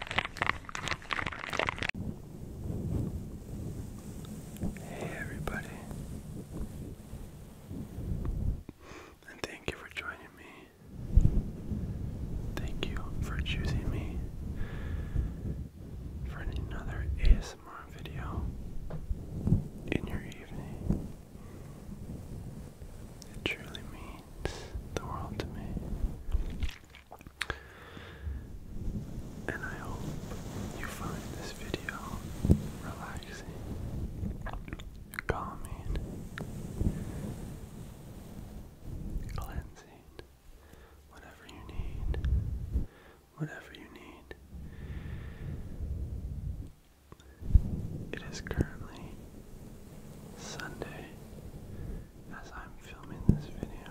Hey everybody, and thank you for joining me. Thank you for choosing me for another ASMR video in your evening. It truly means the world to me. And I hope you find this video relaxing, calming, cleansing, whatever you need, whatever you need. It is currently Sunday, as I'm filming this video.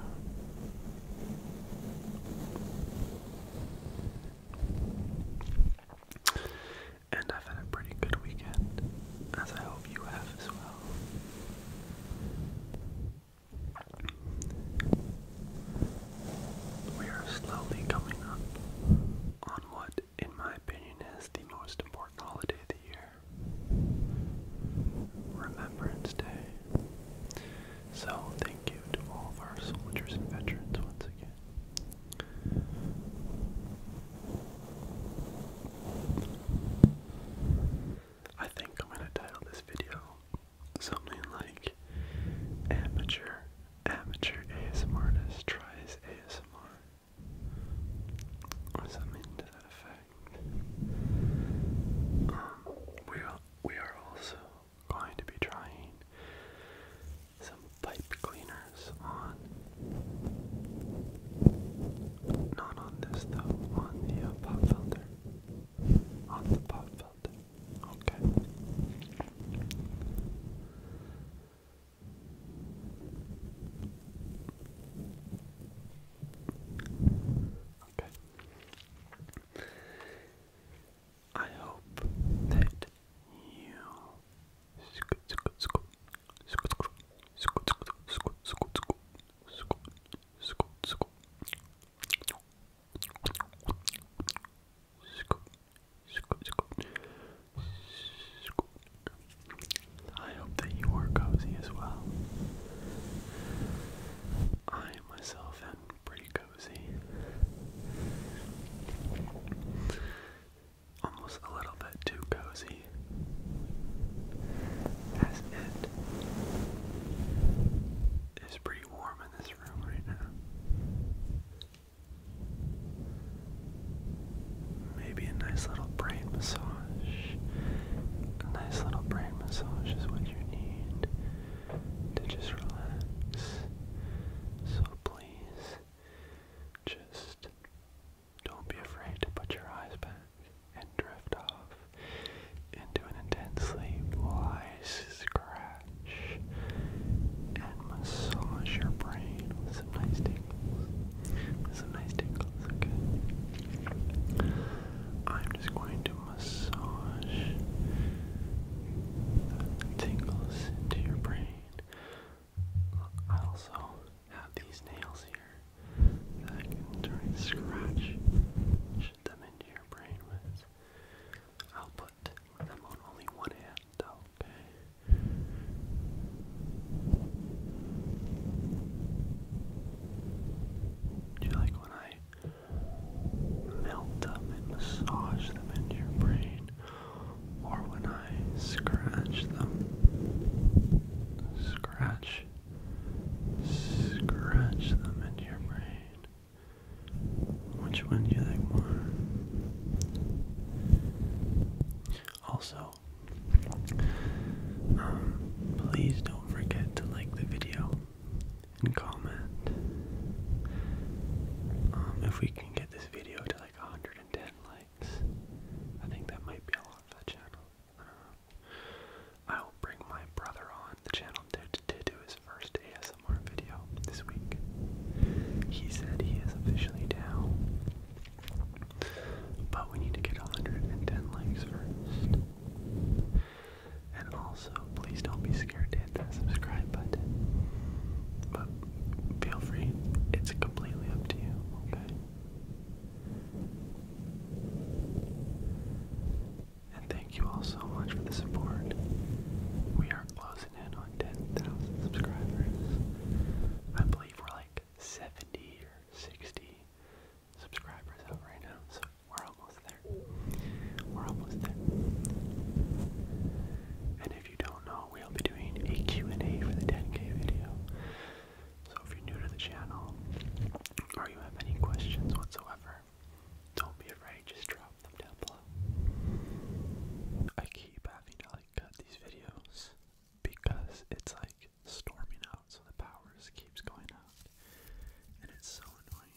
And I've had a pretty good weekend, as I hope you have as well. We are slowly coming up on what, in my opinion, is the most important holiday of the year. Remembrance Day. So, thank you to all of our soldiers and veterans once again. I think I'm going to title this video something like Amateur Amateur ASMR Tries ASMR or something to that effect we are we are also going to be trying some pipe cleaners on not on this though, on the uh, filter. On the pop filter. Okay. Okay. I hope that you I hope that you are cozy as well. I myself am pretty cozy. Almost a little bit too cozy. As it is pretty warm in this room right now. Maybe a nice little brain massage. A nice little brain massage is what you need to just relax. So please, just don't be afraid to put your eyes back and drift off into an intensely wise scratch and massage your brain with some nice tingles a nice tickles, okay. I'm just going to massage tingles into your brain. I also have these nails here that I can try and scratch them into your brain with. I'll put them on only one hand though, okay? Do you like when I melt them and massage them into your brain? Or when I scratch them? Scratch. Scratch them into your brain. Which one do you like more? Also, please don't forget to like the video and comment. Um, if we can get this video to like 110 likes, I think that might be a lot for the channel. I will bring my brother on the channel to do his first ASMR video this week. He said he is officially down but we need to get 110 likes first. And also, please don't be scared to hit that subscribe button. But feel free, it's completely up to you, okay? And thank you all so much for the support. We are closing in on 10,000 subscribers. I believe we're like 70 or 60 subscribers out right now, so we're almost there. We're almost there. And if you don't know, we'll be doing a and a for the 10K video. So if you're new to the channel, or you have any questions whatsoever, don't be afraid, just drop them down below. I keep having to like cut these videos because it's like like storming out, so the power just keeps going out, and it's so annoying.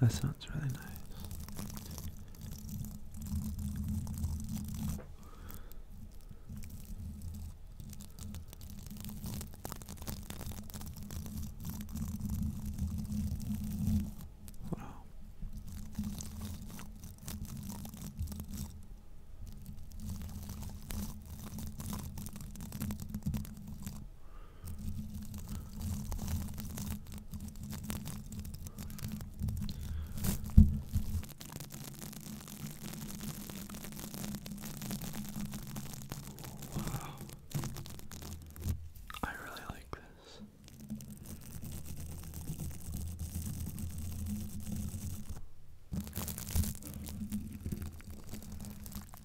That sounds that's really nice. Wow. Wow. I really like this.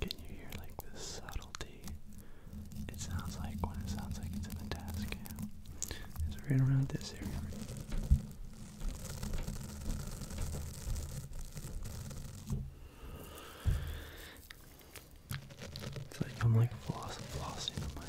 Can you hear like the subtlety? It sounds like when it sounds like it's in the task It's right around this area. It's like I'm like flossing the mic.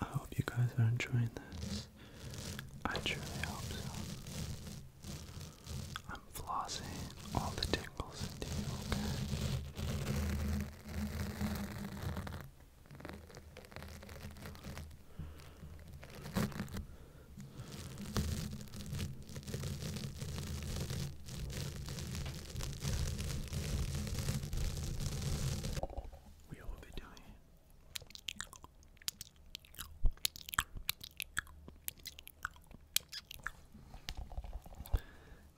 I hope you guys are enjoying this. I truly hope so. I'm flossing all the tingles into you, we all be doing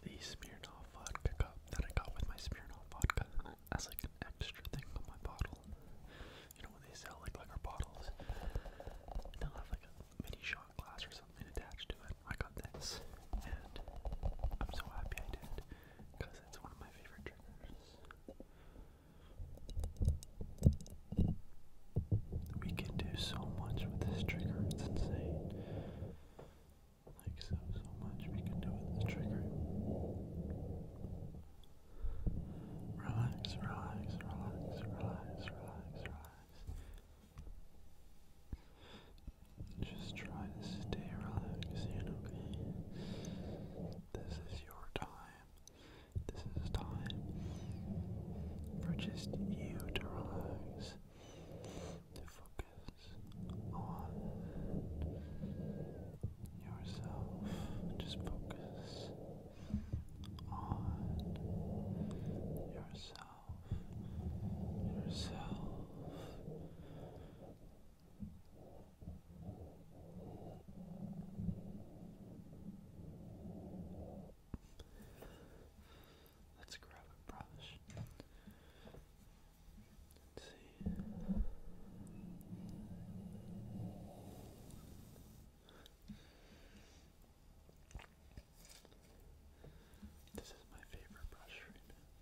The Smirnoff vodka that I got with my Smirnoff vodka as like an extra thing on my bottle. You know when they sell like liquor bottles, they have like a mini shot glass or something attached to it. I got this, and I'm so happy I did because it's one of my favorite triggers. We can do so much with this trigger, it's insane. Like, so, so much we can do with this trigger. Relax, relax, relax, relax, relax, relax. Just try to stay relaxing, okay? This is your time. This is time for just you to relax, to focus on yourself. Just focus on yourself yourself. Let's grab a brush. Let's see. This is my favorite brush right now.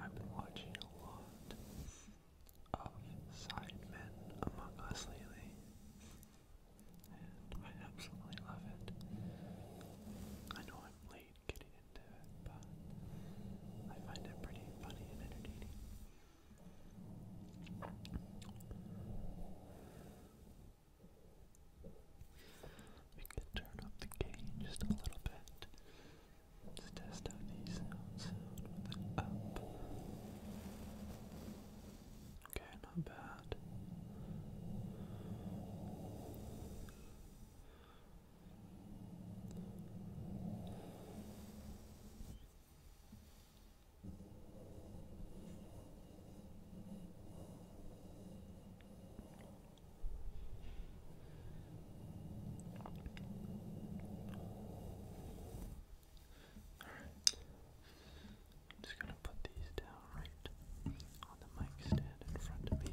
I've been watching a lot of side Sidemen Among Us lately, and I absolutely love it. I know I'm late getting into it, but I find it pretty funny and entertaining. We could turn up the gain just a little bit. let test out these sounds Okay, not bad. Alright. I'm just gonna put these down right on the mic stand in front of me.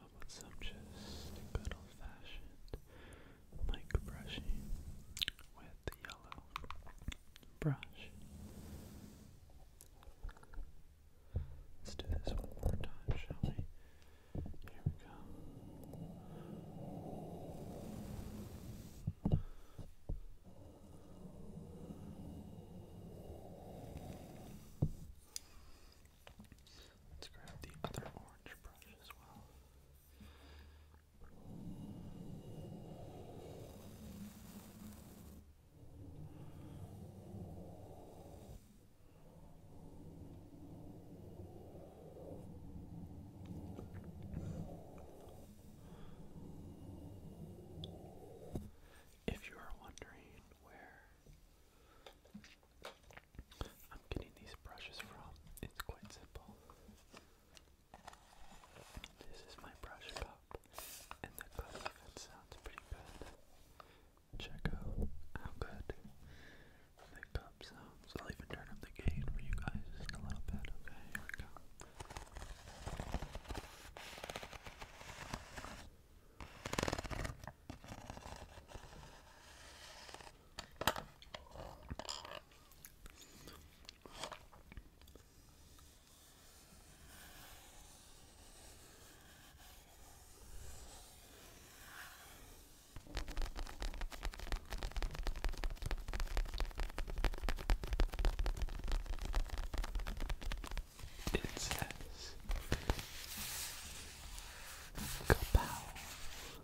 How about some just good old-fashioned mic brushing with yellow brush? Let's do this one more time, shall we? Here we go. Let's grab the other orange brush as well. If you are wondering where I'm getting these brushes from. It's quite simple. This is my brush cup, and the cup even sounds pretty good. Check out how good the cup sounds. I'll even turn up the gain for you guys just a little bit. Okay, here we go. It says Kapow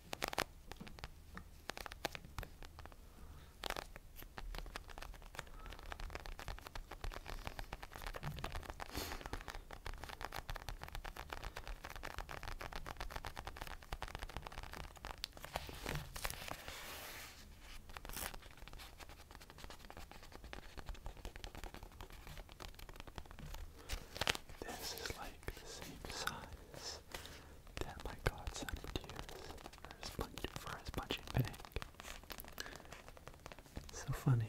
This is like the same size that my godson would use for his, punch, for his So funny.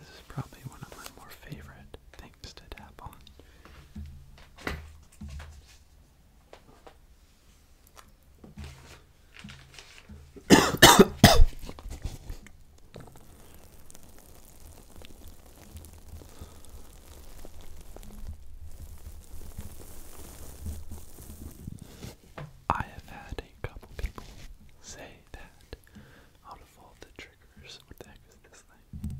This is probably one of my more favorite things to tap on. I have had a couple people say that out of all the triggers, what the heck is this thing?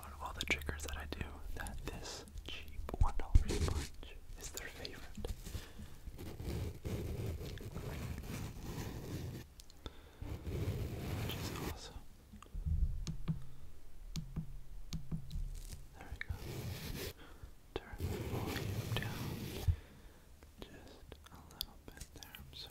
out of all the triggers that I do, that this cheap $1 sponge is their favorite. Which awesome. There we go. Turn the volume down just a little bit there. I'm sorry.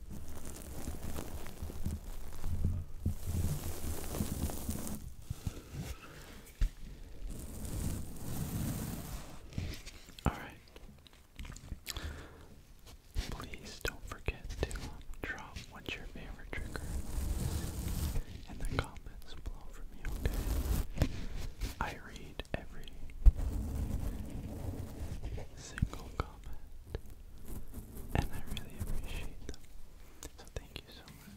All right. Please don't forget to drop what's your favorite trigger in the comments below for me, okay? I read every single comment and I really appreciate them. So thank you so much.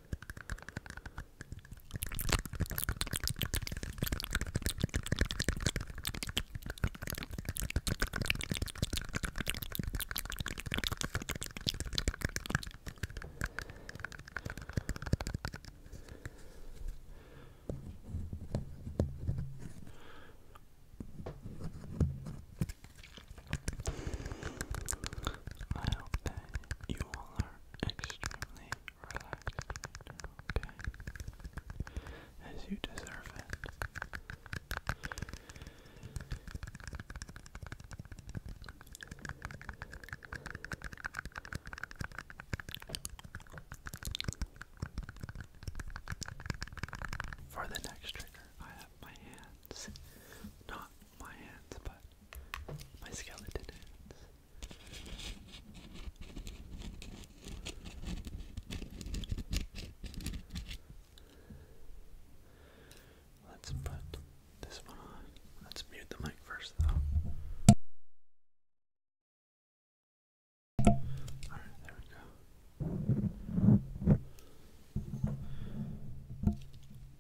I hope that you all are extremely relaxed, okay? As you deserve it. For the next trigger, I have my hands. Not my hands, but my skeleton hands. Let's put this one on. Let's mute the mic first, though. Alright, there we go.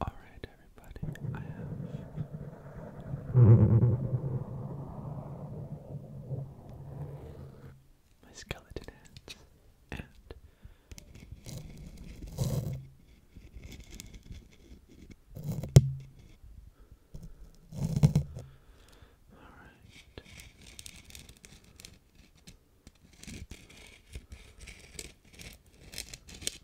Alright, everybody. I have my skeleton hands all right.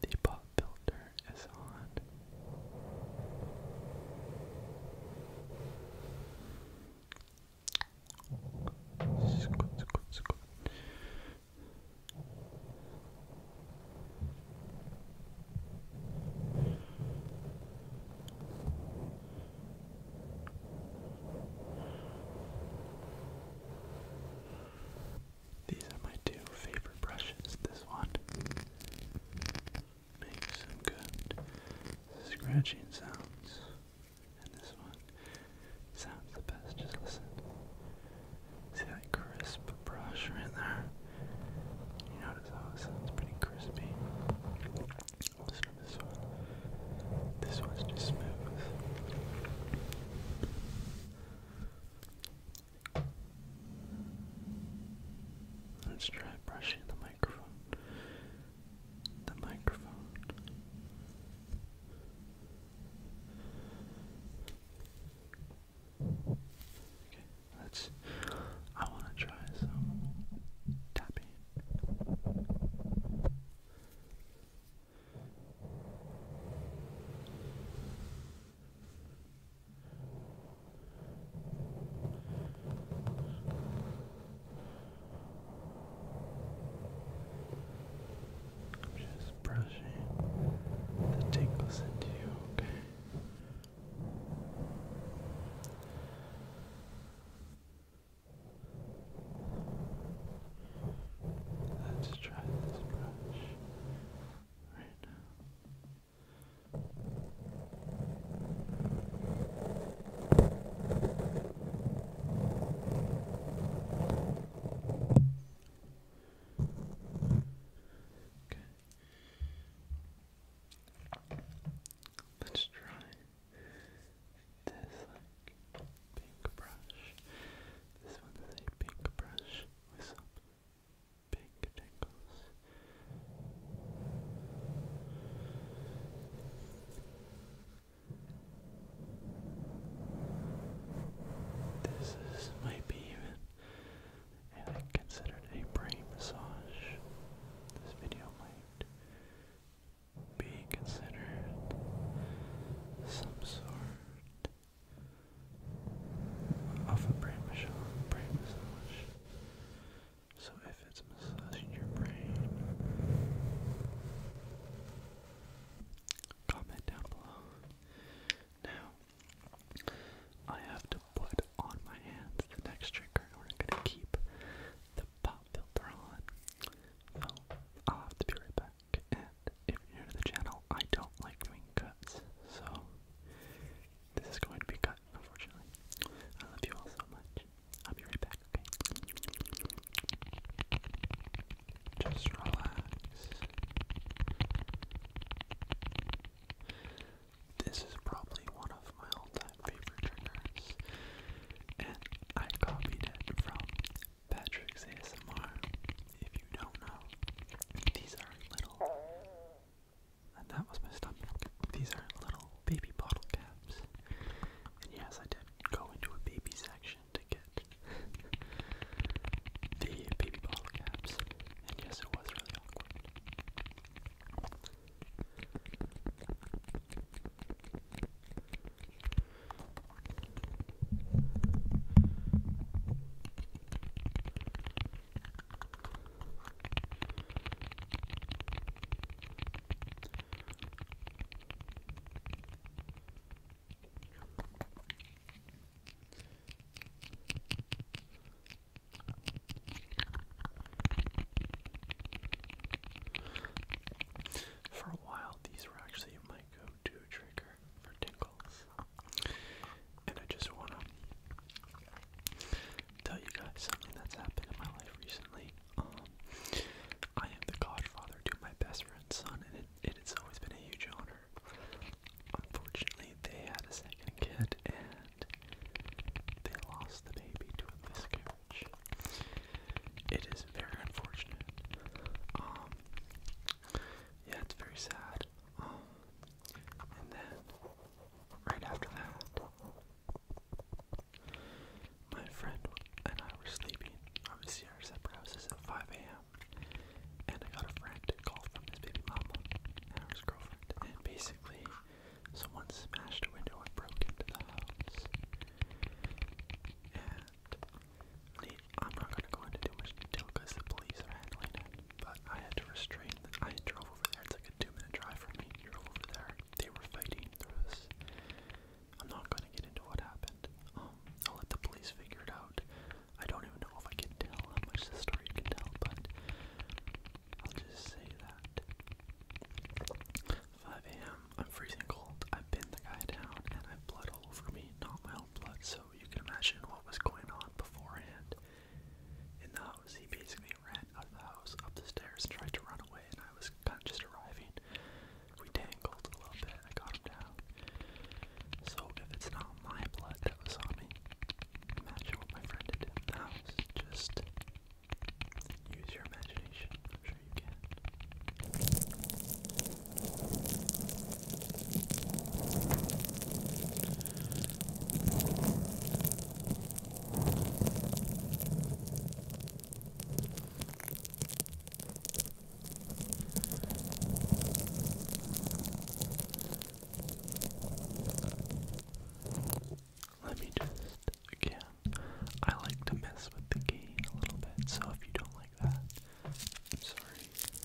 And the pop filter is on. Squid, squid, squid. These are my two favorite brushes. This one makes some good scratching sounds, and this one sounds the best. Just listen. See that crisp brush right there? You notice how it sounds pretty crispy. This one's just smooth. Let's try brushing the microphone. The microphone. Okay, let's. I want to try some tapping. I'm just the tingles into you, okay? Let's try this brush right now. Let's try this like pink brush. This one is a pink brush with pink tangles. This is might be even and considered a brain massage. This video might be considered some sort of a brain massage. Brain massage. So if it's massaging your brain, comment down below. Now, I have to put on my hands the next trigger we're gonna keep the pop filter on. So I'll have to be right back. And if you're new to the channel, I don't like doing cuts, so this is going to be cut, unfortunately. I love you all so much. I'll be right back, okay? Just relax. This is probably one of my all-time favorite triggers, and I copied it from Patrick's ASMR. If you don't know, these are little, and that was my stomach. These are little baby bottle caps, and yes, I did go into a baby section to get the baby bottle caps. And yes, it was really awkward. For a while, these were actually my go to trigger for tinkles. And I just want to tell you guys something that's happened in my life recently. Um, I am the godfather to my best friend's son, and it, it, it's always been a huge honor. Unfortunately, they had a second kid and they lost the baby to a miscarriage. It is very unfortunate. Um, yeah, it's very sad. Um, and then, right after that, my friend and I were sleeping. Obviously, our separate houses at 5 a.m out. And I got a friend call from his baby mama and her girlfriend, and basically, someone smashed a window and broke into the house. And I'm not gonna go into too much detail because the police are handling it, but I had to restrain. The, I drove over there. It's like a two-minute drive for me. Drove over there. They were fighting. There was. I'm not gonna get into what happened. Um, I'll let the police figure it I don't even know if I can tell how much the story can tell, but I'll just say that. 5 a.m. I'm freezing cold. I pin the guy down, and I have blood all over me, not my own blood, so you can imagine what was going on beforehand. In the house, he basically ran out of the house, up the stairs, and tried to run away, and I was kind of just arriving. We tangled a little bit. I got him down. So if it's not my blood that was on me, imagine what my friend did in the Just use your imagination. I'm sure you can. Let me just, again, I like to mess with the gain a little bit, so if you don't like that, sorry.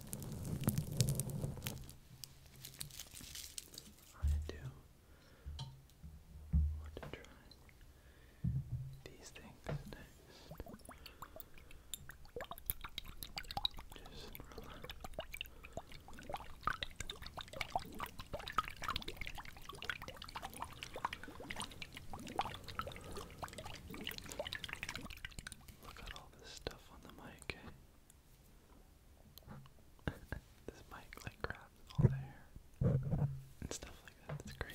I do want to try these things next. Just relax. Look at all this stuff on the mic, this mic like grabs all the and stuff like that. It's crazy.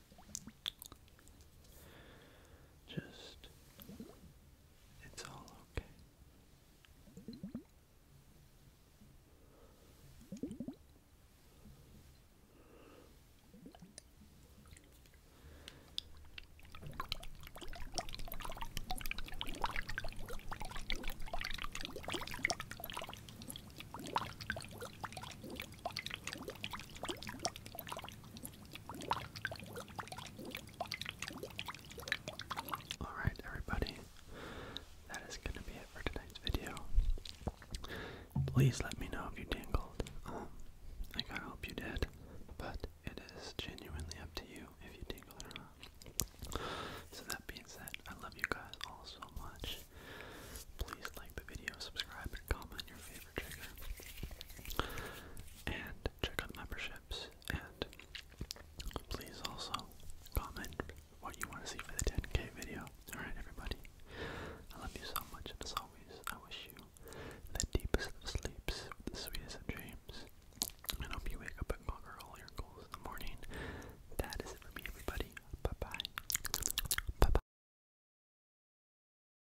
Just, it's all okay. Alright, everybody, that is going to be it for tonight's video. Please let me know if you tingled. Um, like I hope you did, but it is genuinely up to you if you tingled or not. So that being said, I love you guys all so much. Please like the video, subscribe, and comment your favorite trigger. And check out memberships. And please also comment what you want to see for the 10k video. Alright, everybody. I love you so much, and as always, I wish you the deepest of sleeps, the sweetest of dreams. And hope you wake up and conquer all your goals in the morning. That is it for me, everybody. Bye bye. Bye bye.